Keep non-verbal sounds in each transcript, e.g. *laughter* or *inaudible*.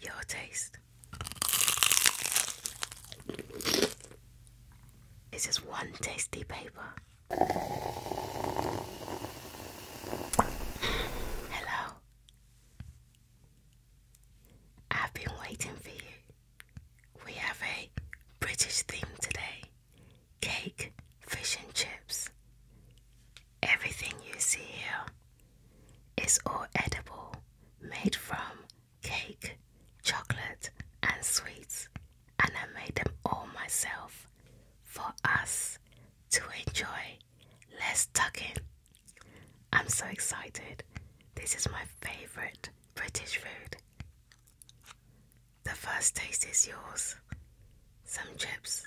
Your taste. It's just one tasty paper. Hello. I've been waiting for you. We have a British theme today cake, fish and chips. Everything you see here is all edible, made from cake, chocolate, and sweets, and I made them all myself for us to enjoy. Let's tuck in. I'm so excited. This is my favorite British food. The first taste is yours. Some chips,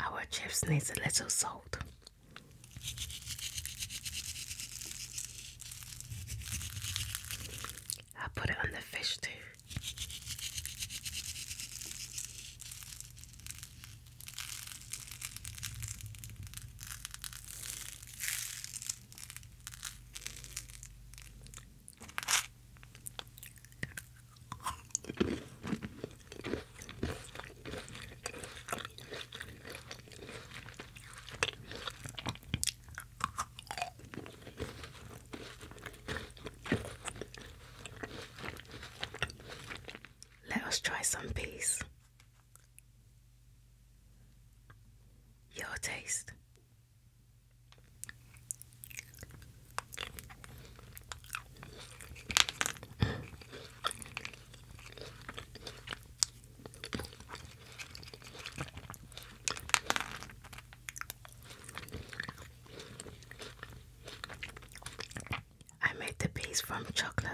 Our chips needs a little salt. i put it on the fish too. Let us try some peas. Your taste. I made the base from chocolate.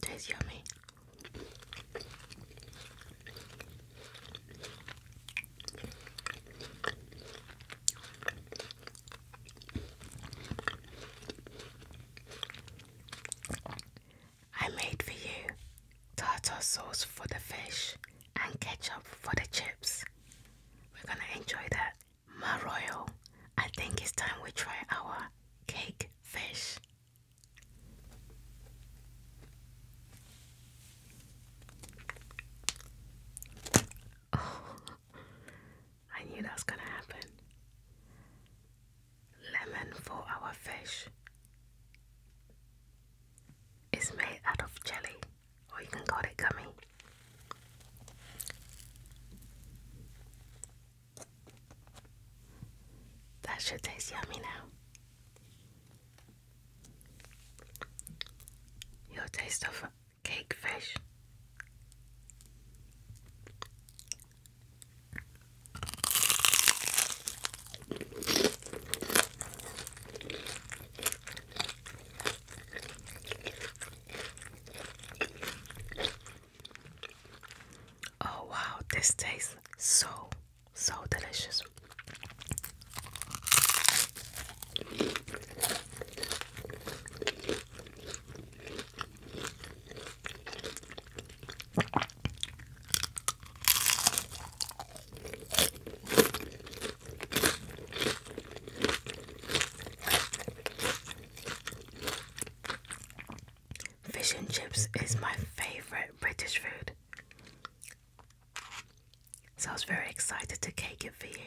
Tastes yummy. I made for you tartar sauce for the fish and ketchup for the chips. We're gonna enjoy that. Maroyo, I think it's time we try our cake fish. Oh, I knew that was going to happen. Lemon for our fish is made out of jelly, or oh, you can call it gummy. That should taste yummy now. Your taste of cake fish. Oh wow, this tastes so so delicious. Fish and chips is my favorite British food. So I was very excited to cake it for you.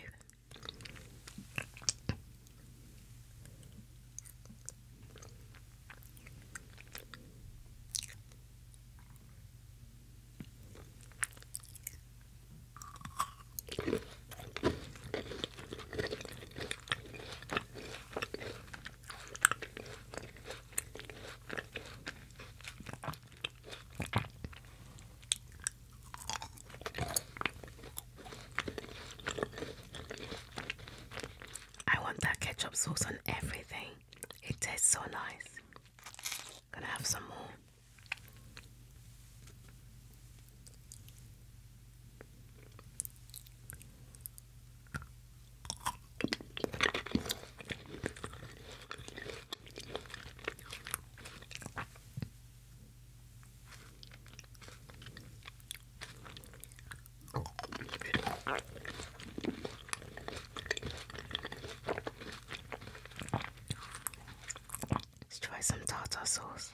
I want that ketchup sauce on everything. It tastes so nice. Gonna have some more. Let's try some tartar sauce.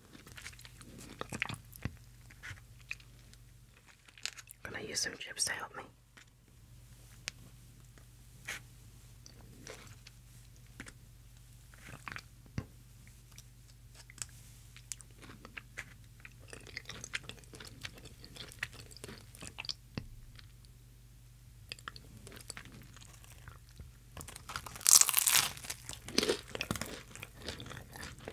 gonna use some chips to help me.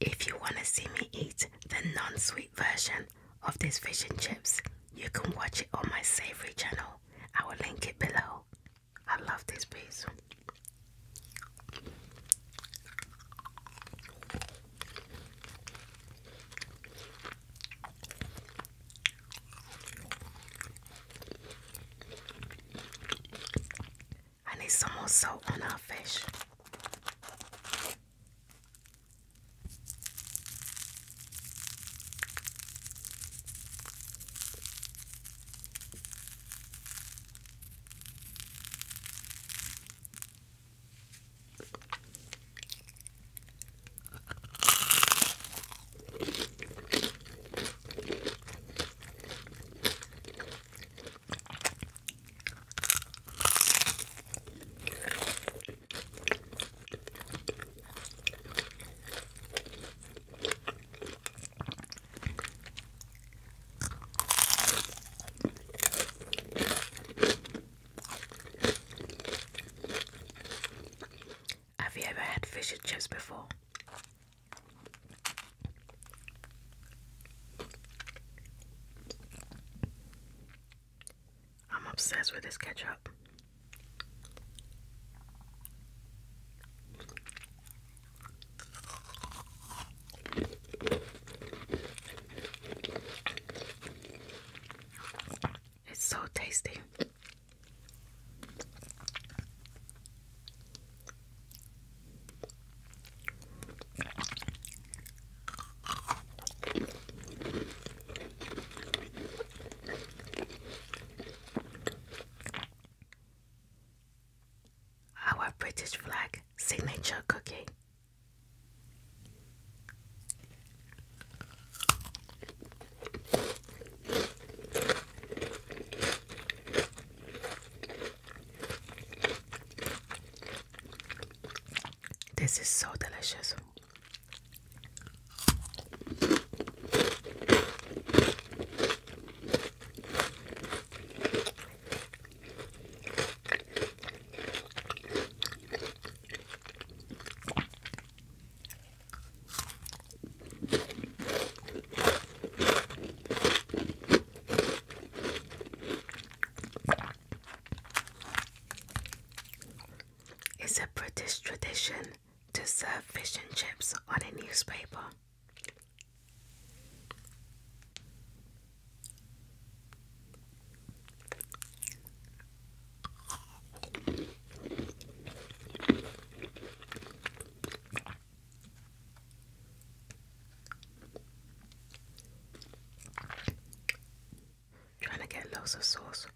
If you want to see me eat the non sweet version of these fish and chips, you can watch it on my savory channel. I will link it below. I love this piece. I need some more salt on our fish. Have you ever had fish and chips before? I'm obsessed with this ketchup. It's so tasty. Our British flag signature cookie. This is so delicious. It's a British tradition to serve fish and chips on a newspaper. Trying to get lots of sauce.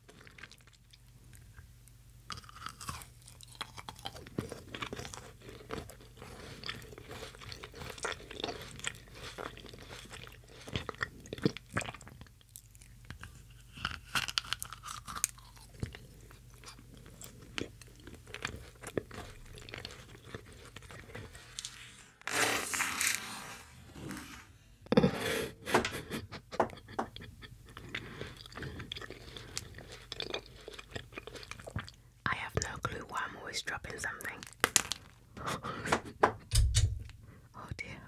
I have no clue why I'm always dropping something. *laughs* oh dear.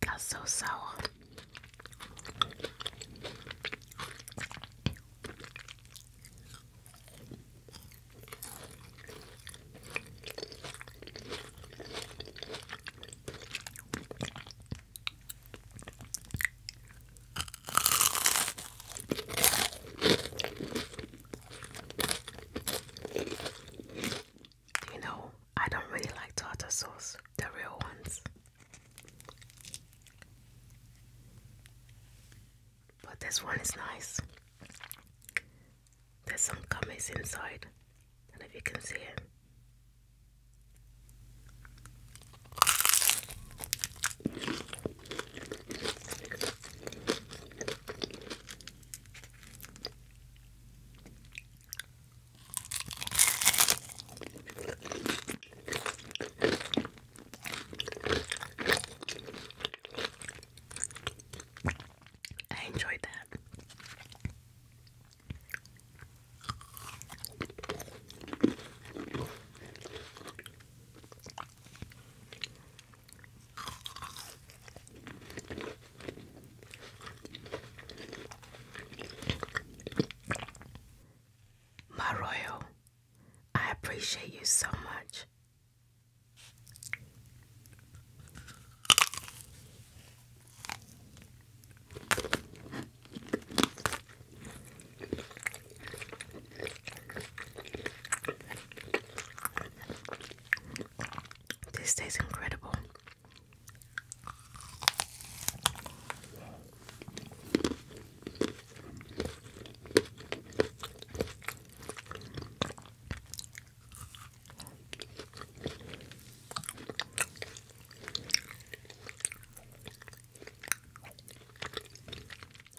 That's so sour. You know, I don't really like tartar sauce, the real ones. But this one is nice. There's some gummies inside. And if you can see it. I enjoyed that. My I appreciate you so much. This tastes incredible.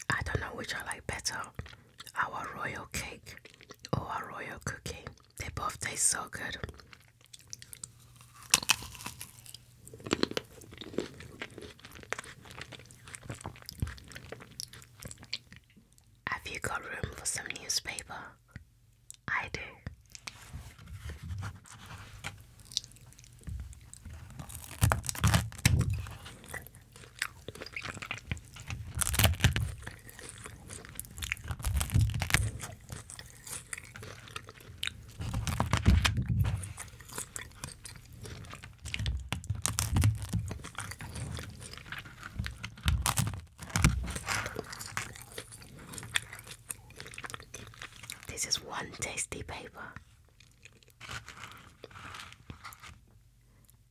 I don't know which I like better, our royal cake or our royal cookie. They both taste so good. Have you got room for some newspaper? I do. This is one tasty paper.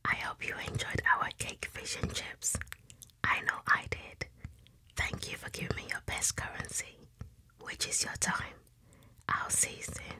I hope you enjoyed our cake, fish, and chips. I know I did. Thank you for giving me your best currency, which is your time. I'll see you soon.